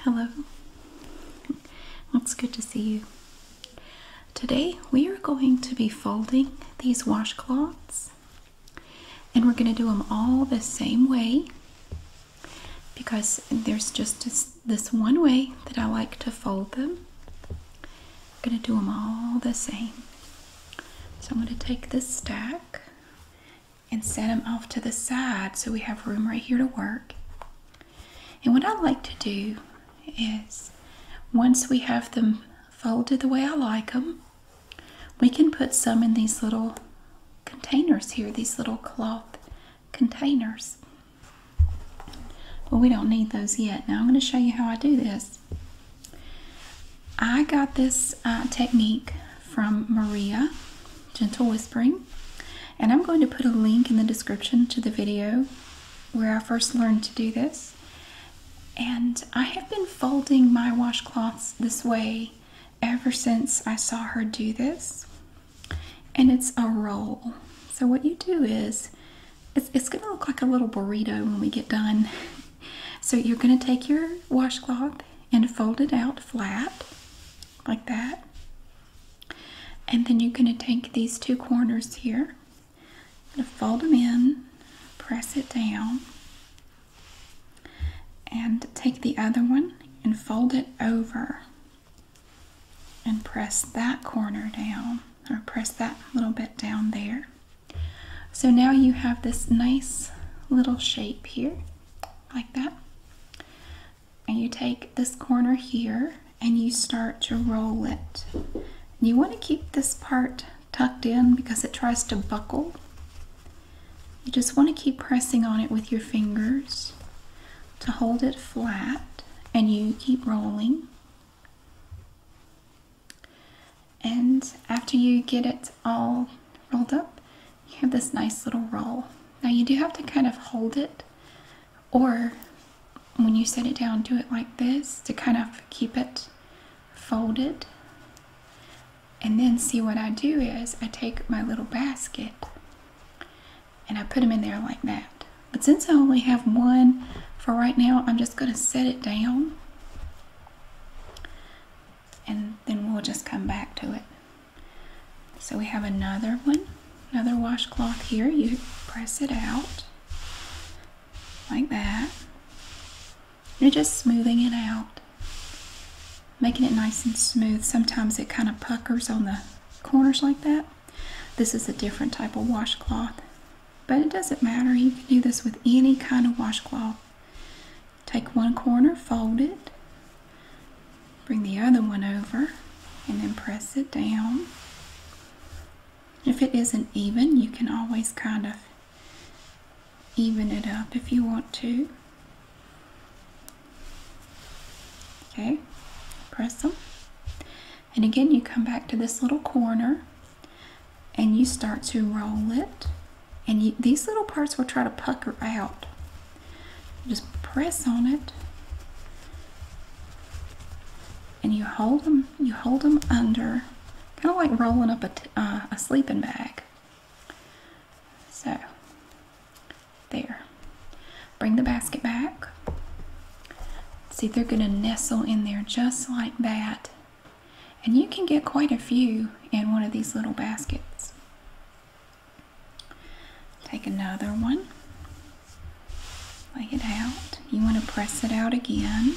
Hello, it's good to see you. Today we are going to be folding these washcloths and we're going to do them all the same way because there's just this, this one way that I like to fold them. I'm going to do them all the same. So I'm going to take this stack and set them off to the side so we have room right here to work. And what I like to do is once we have them folded the way I like them, we can put some in these little containers here, these little cloth containers. But we don't need those yet. Now I'm going to show you how I do this. I got this uh, technique from Maria Gentle Whispering, and I'm going to put a link in the description to the video where I first learned to do this. And I have been folding my washcloths this way ever since I saw her do this. And it's a roll. So what you do is, it's going to look like a little burrito when we get done. So you're going to take your washcloth and fold it out flat like that. And then you're going to take these two corners here, fold them in, press it down, and take the other one and fold it over and press that corner down or press that little bit down there so now you have this nice little shape here, like that. And you take this corner here and you start to roll it. You want to keep this part tucked in because it tries to buckle. You just want to keep pressing on it with your fingers to hold it flat and you keep rolling and after you get it all rolled up, you have this nice little roll. Now you do have to kind of hold it, or when you set it down, do it like this to kind of keep it folded. And then see what I do is I take my little basket and I put them in there like that. But since I only have one for right now, I'm just going to set it down and then we'll just come back to it. So we have another one, another washcloth here. You press it out like that. You're just smoothing it out, making it nice and smooth. Sometimes it kind of puckers on the corners like that. This is a different type of washcloth, but it doesn't matter. You can do this with any kind of washcloth. Take one corner, fold it, bring the other one over, and then press it down. If it isn't even, you can always kind of even it up if you want to. Okay, press them. And again, you come back to this little corner and you start to roll it and these little parts will try to pucker out just press on it and you hold them you hold them under kind of like rolling up uh, a sleeping bag so there bring the basket back see they're going to nestle in there just like that and you can get quite a few in one of these little baskets. Take another one, lay it out. You want to press it out again.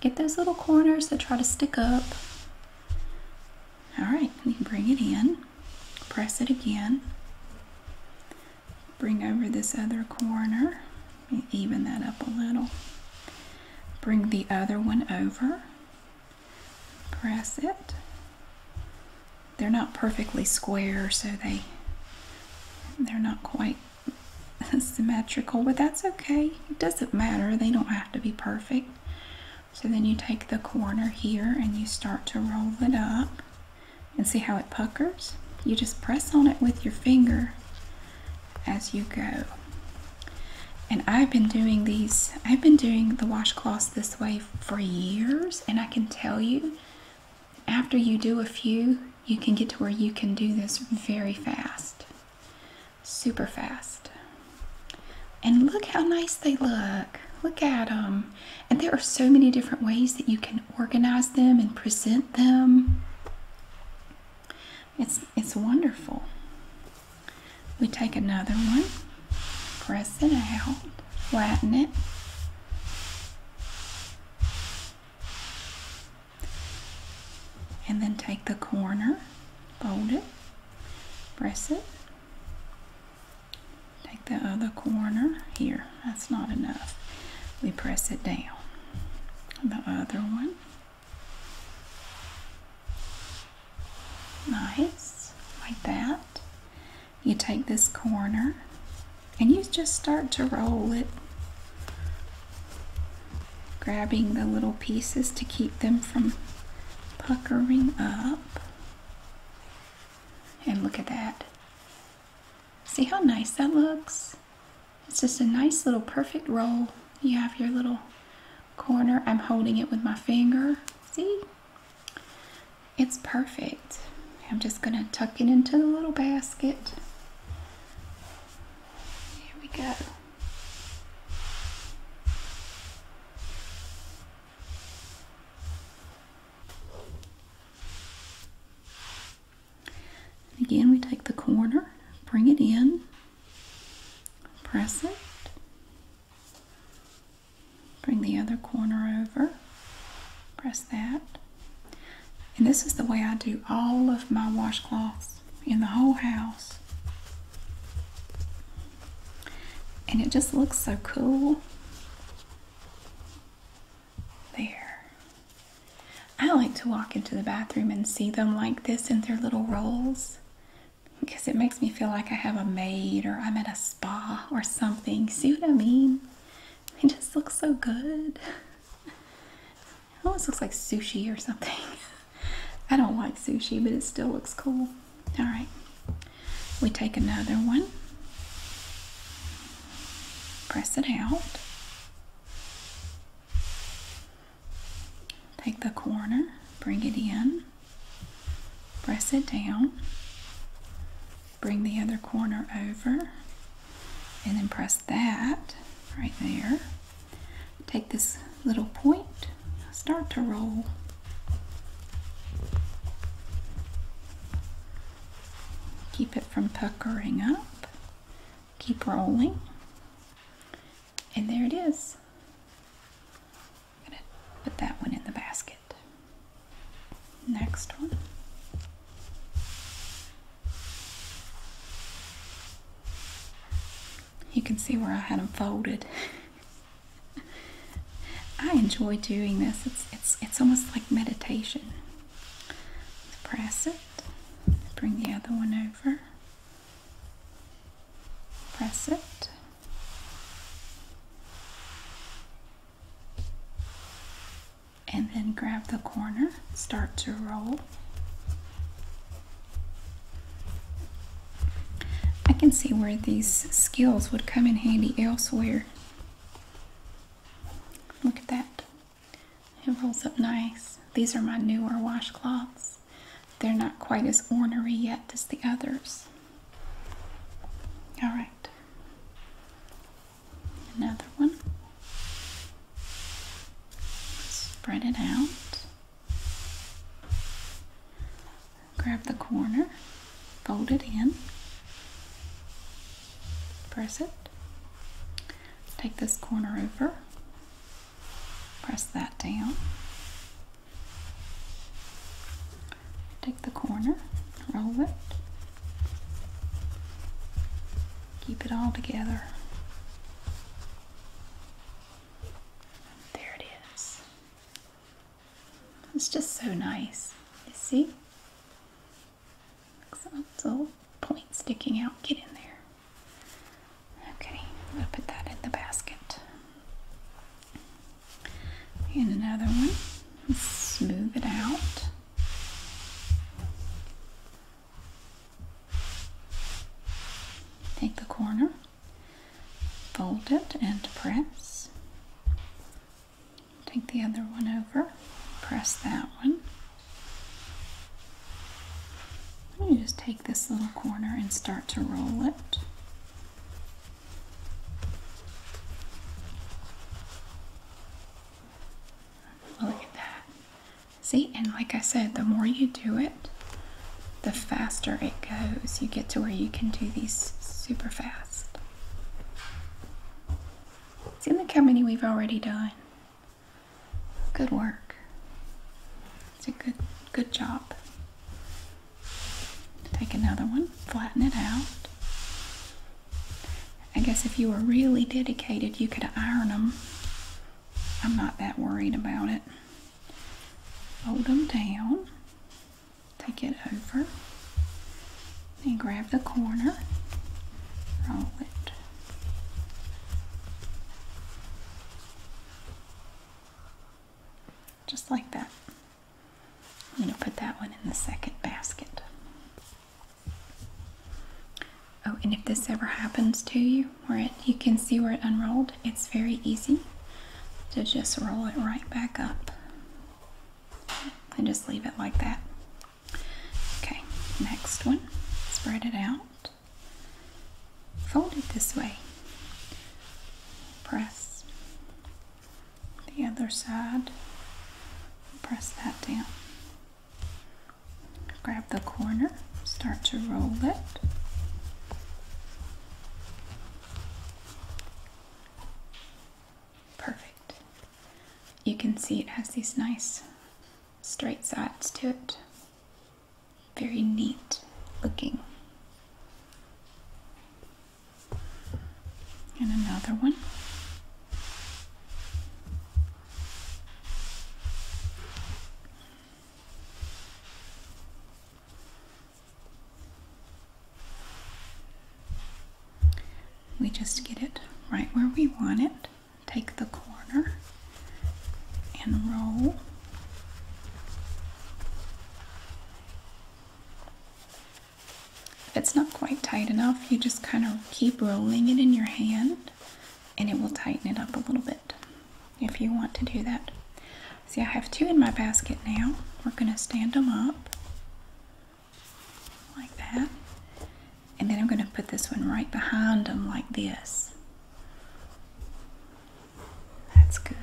Get those little corners that try to stick up. All right, you bring it in, press it again, bring over this other corner even that up a little. Bring the other one over. Press it. They're not perfectly square, so they they're not quite symmetrical, but that's okay. It doesn't matter. They don't have to be perfect. So then you take the corner here and you start to roll it up and see how it puckers? You just press on it with your finger as you go. And I've been doing these, I've been doing the washcloths this way for years, and I can tell you, after you do a few, you can get to where you can do this very fast, super fast. And look how nice they look. Look at them. And there are so many different ways that you can organize them and present them. It's, it's wonderful. We take another one, press it out, flatten it. And then take the corner, fold it, press it. Take the other corner here. That's not enough. We press it down the other one. Nice, like that. You take this corner and you just start to roll it, grabbing the little pieces to keep them from puckering up. And look at that. See how nice that looks? It's just a nice little perfect roll. You have your little corner. I'm holding it with my finger. See? It's perfect. I'm just going to tuck it into the little basket. Here we go. And again, we take the corner, bring it in, press it, bring the other corner over, press that. And this is the way I do all of my washcloths in the whole house. And it just looks so cool. There. I like to walk into the bathroom and see them like this in their little rolls because it makes me feel like I have a maid or I'm at a spa or something. See what I mean? It just looks so good. It almost looks like sushi or something. I don't like sushi, but it still looks cool. All right, we take another one, press it out. Take the corner, bring it in, press it down, bring the other corner over, and then press that right there. Take this little point, start to roll. Keep it from puckering up keep rolling and there its I'm gonna put that one in the basket next one you can see where I had them folded I enjoy doing this it's it's it's almost like meditation press it Bring the other one over. Press it. And then grab the corner, start to roll. I can see where these skills would come in handy elsewhere. Look at that. It rolls up nice. These are my newer washcloths. They're not quite as ornery yet as the others. All right. Another one. Spread it out. Grab the corner, fold it in, press it, Take this corner over, press that down. Take the corner, roll it, keep it all together. There it is. It's just so nice. You see? It's a little point sticking out. Get in there. Okay, I'm gonna put that in the basket. And another one. smooth it out. Take the corner, fold it, and press. Take the other one over, press that one. Let me just take this little corner and start to roll it. Look at that. See, and like I said, the more you do it, the faster it goes. You get to where you can do these super fast. See, look how many we've already done. Good work. It's a good good job. Take another one, flatten it out. I guess if you were really dedicated, you could iron them. I'm not that worried about it. Hold them down, take it over, and grab the corner, roll it. Just like that. I'm going to put that one in the second basket. Oh, and if this ever happens to you, where it, you can see where it unrolled, it's very easy to just roll it right back up and just leave it like that. Okay, next one. Spread it out. Fold it this way. Press the other side. Press that down. Grab the corner. Start to roll it. Perfect. You can see it has these nice straight sides to it. Very neat looking. And another one we just get it right where we want it, take the corner and roll. If it's not quite tight enough, you just kind of keep rolling it in your hand and it will tighten it up a little bit if you want to do that. See, I have two in my basket now. We're going to stand them up like that. And then I'm going to put this one right behind them like this. That's good.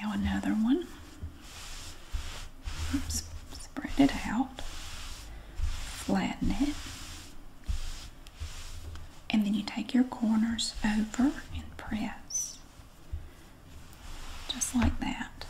Now another one. spread it out. Flatten it. And then you take your corners over and press. Just like that.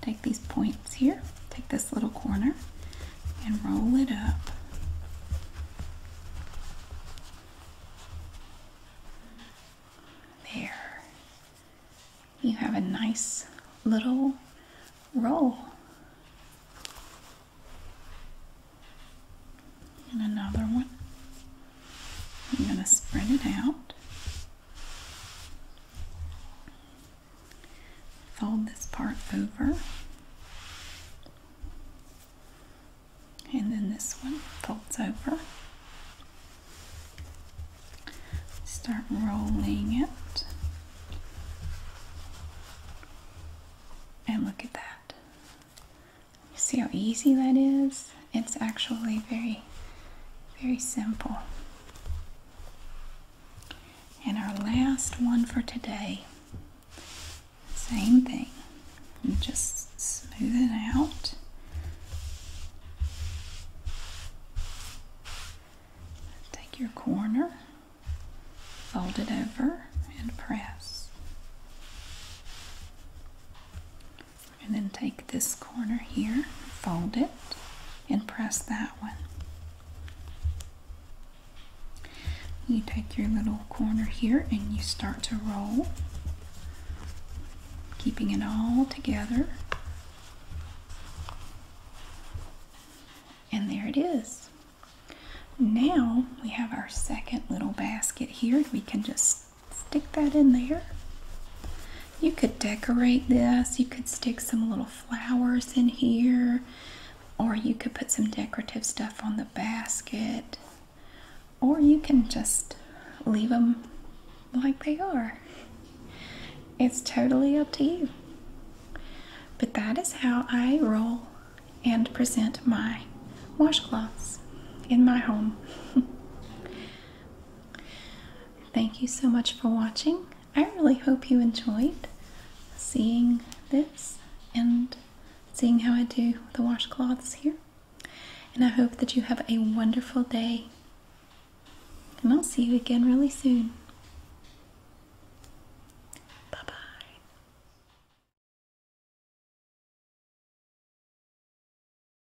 Take these points here, take this little corner, and roll it up. There. You have a nice little roll. And another one. I'm going to spread it out. Fold this part over. And then this one folds over. Start rolling it. And look at that. see how easy that is? It's actually very, very simple. And our last one for today, same thing. just smooth it out. Take your corner, fold it over, and press. And then take this corner here, fold it, and press that one. You take your little corner here and you start to roll, keeping it all together. And there it is. Now we have our second little basket here. We can just stick that in there. You could decorate this. You could stick some little flowers in here, or you could put some decorative stuff on the basket, or you can just leave them like they are. It's totally up to you. But that is how I roll and present my washcloths in my home. Thank you so much for watching. I really hope you enjoyed seeing this and seeing how I do the washcloths here. And I hope that you have a wonderful day. And I'll see you again really soon. Bye bye.